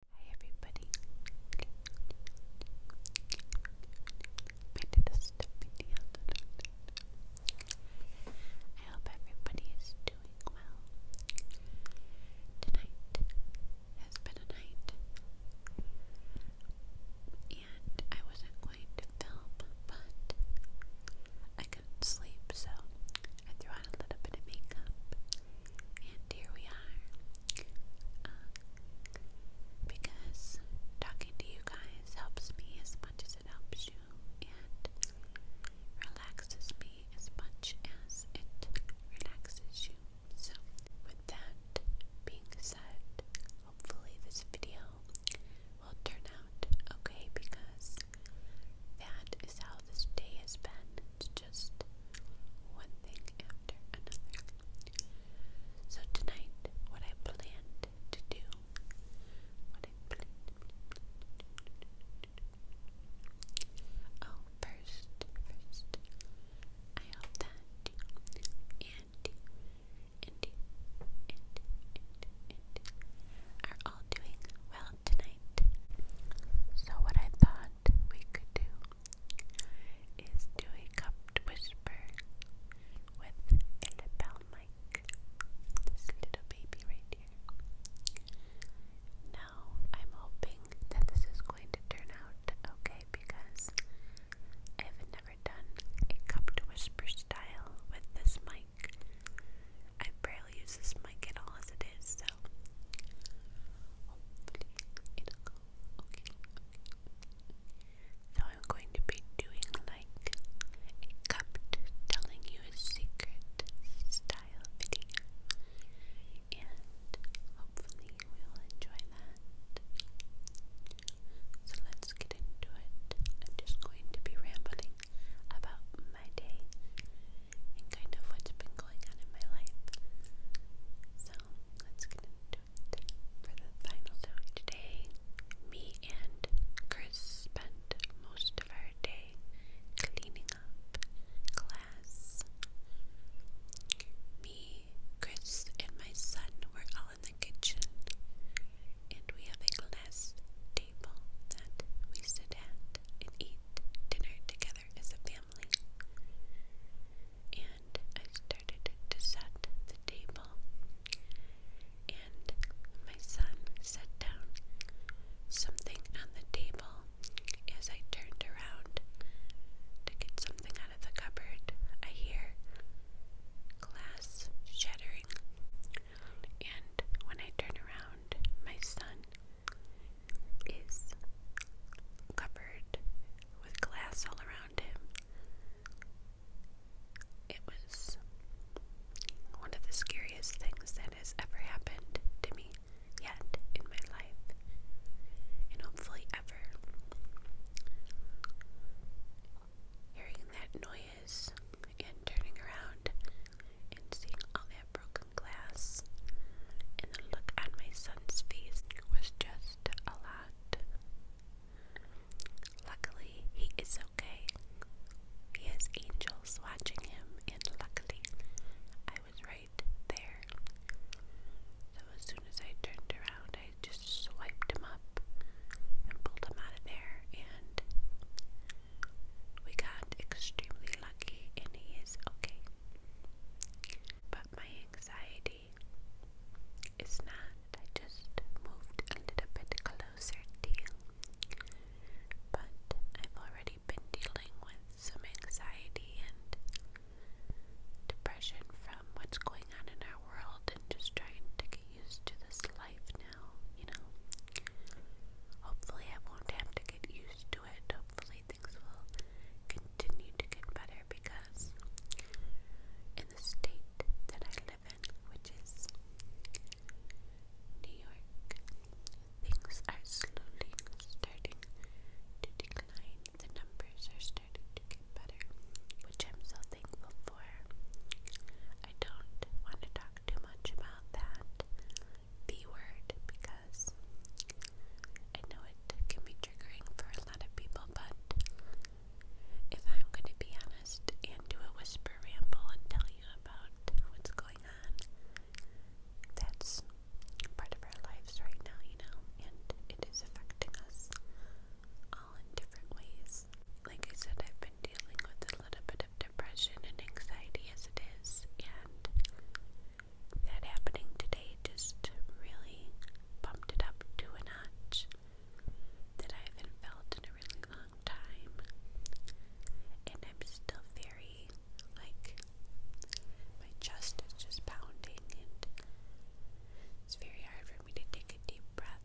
Hi everybody. I hope everybody is doing well. Tonight has been a night and I wasn't going to film but I couldn't sleep so I threw on a little bit of makeup and here we are. Uh, because talking to you guys helps me as much as it helps you, and relaxes me as much as it relaxes you. So, with that being said, hopefully this video will turn out okay because that is how this day has been. It's just one thing after another. So tonight, what I planned to do, what I planned. Oh, first, first, I hope that Andy, Andy, Andy, Andy, Andy are all doing well tonight. So what I thought we could do is do a cupped whisper with a lapel mic. This little baby right here. Now, I'm hoping that this is going to turn out okay because I've never done a cupped whisper style with this mic. I barely I'll use this mic at all as it is, so hopefully it'll go okay. So I'm going to be doing like a cupped telling you a secret style video. And hopefully you will enjoy that. So let's get into it. I'm just going to be rambling about my day and kind of what's been going on in my life. So that's gonna do it for the final time today. Me and Chris spent most of our day cleaning up class. Me, Chris, and my son were all in the kitchen, and we have a glass table that we sit at and eat dinner together as a family. And I started to set the table. And my son set down something on the table. As I turned around to get something out of the cupboard, I hear glass shattering. And when I turn around, my son is covered with glass all around him. It was one of the scariest things that has ever happened to me yet in my life, and hopefully ever. Hearing that noise and turning around and seeing all broken glass, and the look on my son's face was just a lot. Luckily, he is okay. He has angels watching him, and luckily, I was right there. So, as soon as I turned around, I just swiped him up and pulled him out of there, and we got extremely and he is okay. But my anxiety is not. I just moved a little bit closer deal, But I've already been dealing with some anxiety and depression from what's going on in our world and just trying to get used to this life now, you know. Hopefully, I won't have to get used to. Hopefully, things will continue to get better because in the state that I live in, which is New York, things are slowly starting to decline. The numbers are starting to get better, which I'm so thankful for. I don't want to talk too much about that B word because I know it can be triggering for a lot of people, but if I'm going to be honest and do a whisper ramble and tell you about what's going on, that's part of our lives right now, you know, and it is affecting us all in different ways. Like I said, I've been dealing with a little bit of depression and anxiety as it is, and that happening today just really bumped it up to a notch that I haven't felt in a really long time. And I'm still very, like, my chest is just pounding, and it's very hard for me to take a deep breath.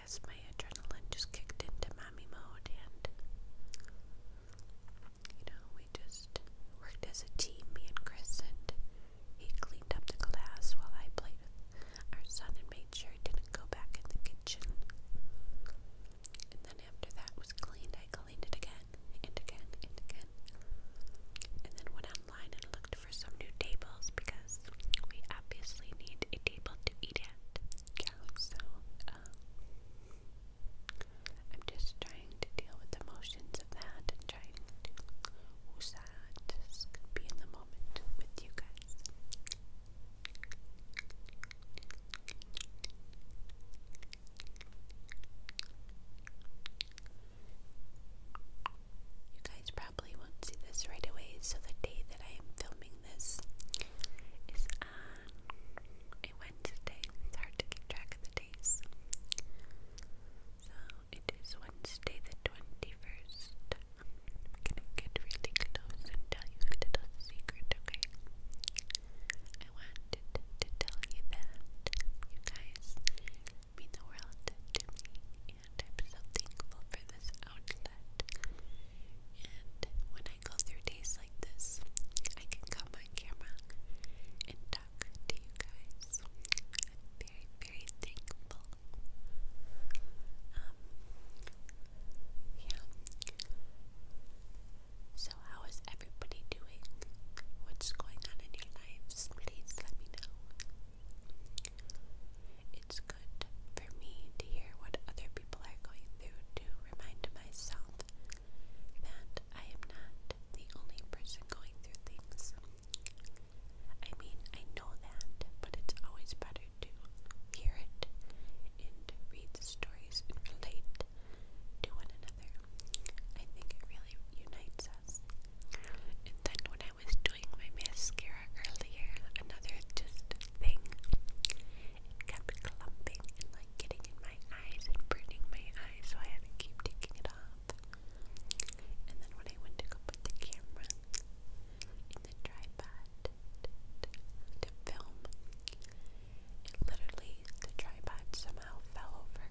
guess my adrenaline just kicked into mommy mode, and you know, we just worked as a team, me and Chris, and he cleaned up the glass while I played with our son and made sure he didn't go back in the kitchen. And then after that was cleaned, I cleaned it again and again and again. And then went online and looked for some new tables because we obviously need a table to eat at so um, I'm just trying to deal with the emotions of that and trying to just be in the moment with you guys. You guys probably won't see this right away, so the day that I am filming this is a uh, Wednesday. It's hard to keep track of the days. So it is Wednesday the 21st. I'm gonna get really close and tell you a little secret, okay? I wanted to tell you that you guys mean the world to me, and I'm so thankful for this outlet. And when I go through days like this, I can come on camera and talk to you guys. I'm very, very thankful. Um, yeah. So, how is everybody doing? What's going on in your lives? Please let me know. It's good for me to hear what other people are going through to remind myself that I am not the only person going through things. I mean, I know that, but it's always better to hear it and read the stories and relate to one another. I think it really unites us. And then when I was doing my mascara earlier, another just thing, kept clumping and like getting in my eyes and burning my eyes, so I had to keep taking it off. And then when I went to go put the camera in the tripod to film, it literally, the tripod somehow fell over.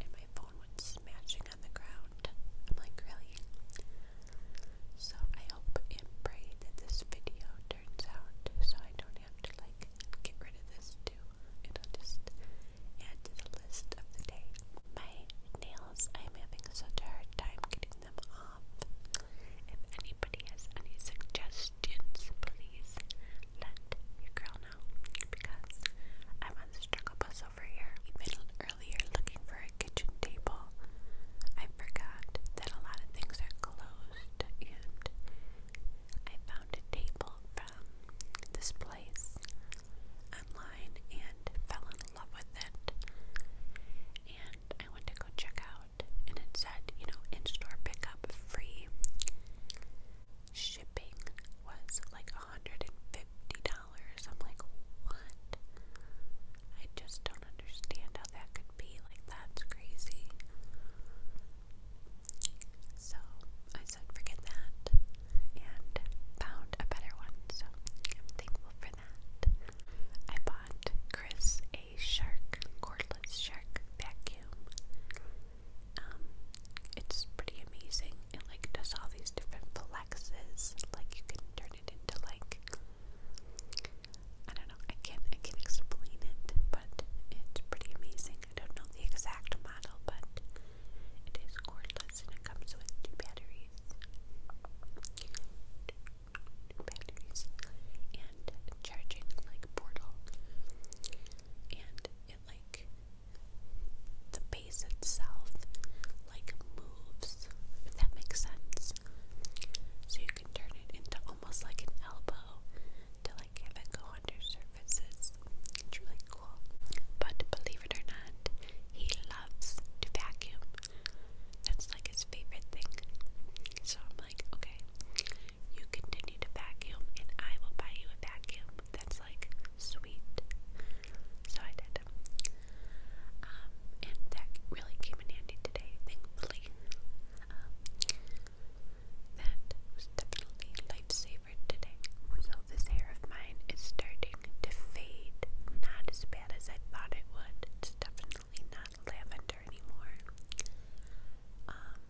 And my phone went smashing on the ground. I'm like, really? So I hope and pray that this video turns out so I don't have to like get rid of this too. It'll just add to the list of the day. My nails, I'm having such a hard time getting them off. If anybody has any suggestions, please let your girl know because I'm on the struggle bus was over here. We middled earlier looking for a kitchen table. I forgot that a lot of things are closed, and I found a table from this place online and fell in love with it. And I went to go check out, and it said, you know, in store pickup free. Shipping was like $150. I'm like, what? I just don't understand how that could be. Like, that's crazy. So I said, forget that, and found a better one. So I'm thankful for that. I bought Chris a shark, cordless shark vacuum. Um, it's pretty amazing. It like does all these different flexes. Like you can turn it to like I don't know, I can't I can't explain it, but it's pretty amazing. I don't know the exact model, but it is cordless and it comes with two batteries. batteries and charging like portal. And it like the itself like moves, if that makes sense. So you can turn it into almost like an elbow to like have it go under surfaces. It's really cool. But believe it or not, he loves to vacuum. That's like his favorite thing. So I'm like, okay, you continue to vacuum and I will buy you a vacuum. That's like sweet. So I did. Um, and that really came in handy today, thankfully. Um, that was definitely lifesaver today. So this hair of mine is starting to fade. Not as bad as I thought it would. It's definitely not lavender anymore. Um,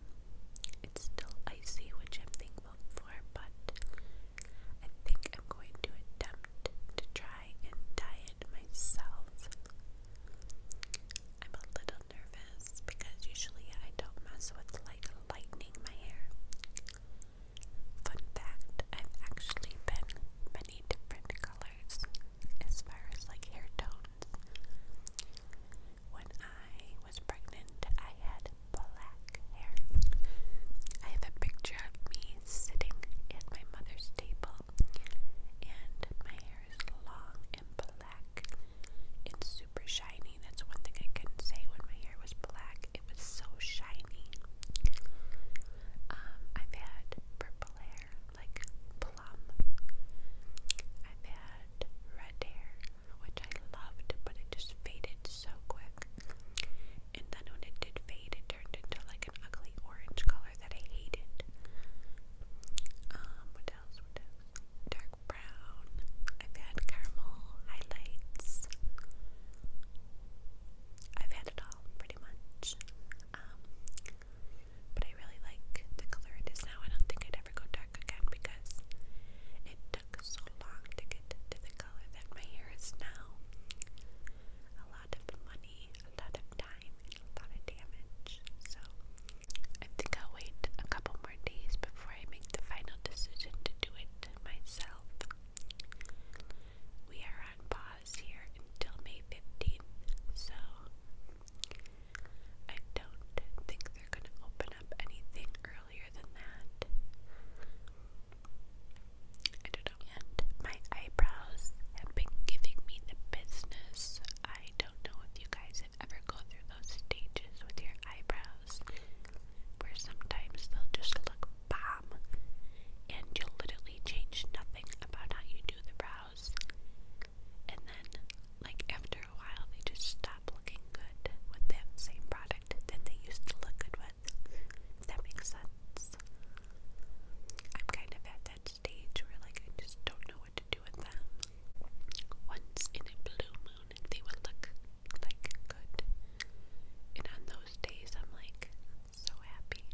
it's still icy, which I'm thankful for, but I think I'm going to attempt to try and diet myself. I'm a little nervous because usually I don't mess with like lightening my hair. Fun fact, I've actually been many different colors as far as like hair tones. When I was pregnant, I had black hair. I have a picture of me sitting at my mother's table, and my hair is long and black. It's super shiny. That's one thing I could say when my hair was black. It was so shiny. Um, I've had purple hair, like plum. I've had red hair, which I loved, but it just faded so quick and then when it did fade, it turned into like an ugly orange color that I hated. Um, what else? Dark brown. I've had caramel highlights. I've had it all pretty much. Um, but I really like the color it is now. I don't think I'd ever go dark again because took so long to get to the color that my hair is now. A lot of money, a lot of time, a lot of damage. So I think I'll wait a couple more days before I make the final decision to do it myself. We are on pause here until May 15th, so I don't think they're going to open up anything earlier than that. I don't know yet. My eyebrows have been giving me the business. I don't know if you guys have ever gone through those stages with your eyebrows where sometimes they'll just look bomb and you'll literally change nothing about how you do the brows. And then, like, after a while, they just stop looking good with that same product that they used to look good with that makes sense. I'm kind of at that stage where like I just don't know what to do with them. Once in a blue moon they would look like good. And on those days I'm like so happy.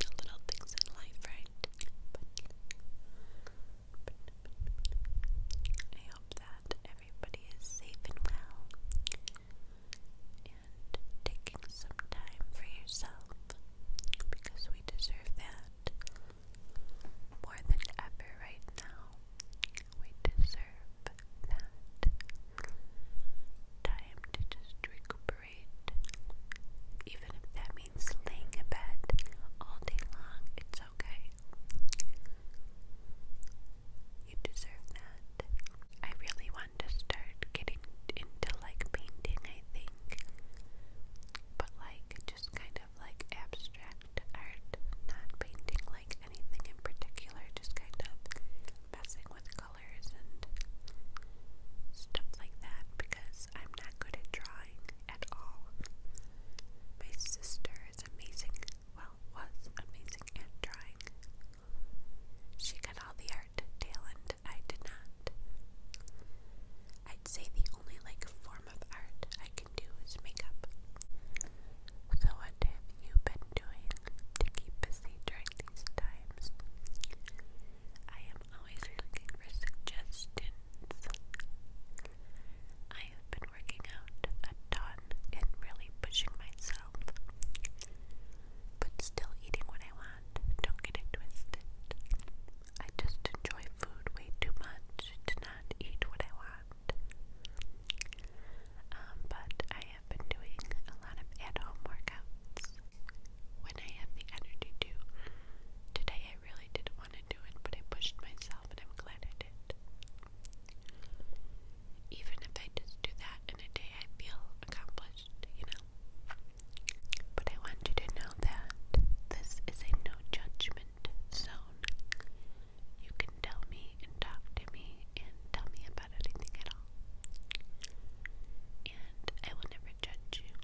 The little things in life, right? I hope that everybody is safe and well and taking some time for yourself because we deserve that more than ever right now. We deserve that time to just recuperate, even if that means laying in bed all day long, it's okay. You deserve that. I really want to start getting into like painting, I think. But like just kind of like abstract art, not painting like anything in particular, just kind of messing with colors and stuff like that because I'm not good at drawing at all. My sister is amazing well, was amazing at drawing. She got all the art talent I did not. I'd say the only like form of art I can do is makeup. So what have you been doing to keep busy during these times? I am always looking for suggestions. I have been working out a ton and really pushing myself, but still eating what I want. Don't get it twisted. I just enjoy food way too much to not eat what I want. Um, but I have been doing a lot of at home workouts when I have the energy to. Today I really didn't want to do it, but I pushed myself and I'm glad I did even if I just do that in a day, I feel accomplished, you know? But I want you to know that this is a no judgment zone. You can tell me and talk to me and tell me about anything at all. And I will never judge you.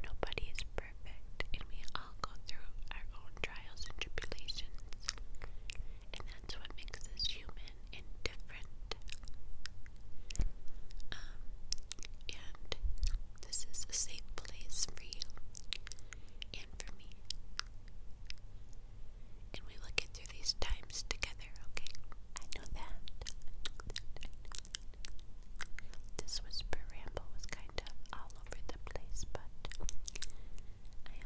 Nobody is perfect, and we all go through our own trials and tribulations and that's what makes us human and different. Um, and this is a safe place for you and for me. And we will get through these times together, okay? I know that. This whisper ramble was kind of all over the place, but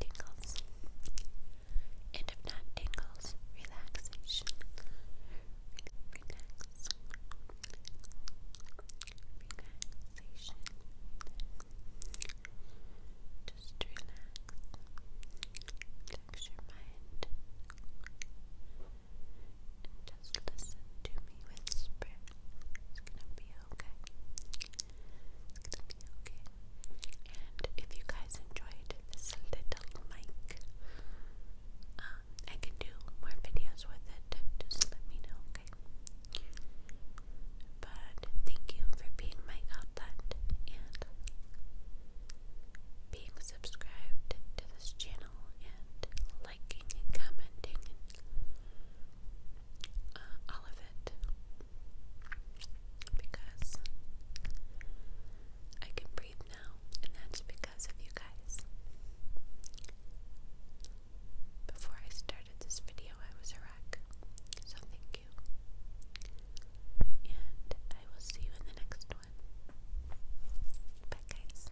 tingles, and if not tingles, relaxation, relax, relaxation, just relax, relax your mind, just listen to me whisper. It's gonna be okay. And if you guys enjoyed this little mic, uh, I can do more videos with it. Just let me know, okay? But thank you for being my outlet and being subscribed to this channel and liking and commenting and uh, all of it because I can breathe now, and that's because of you guys. Before I started this video, I was a wreck, so thank you. And I will see you in the next one. Bye, guys.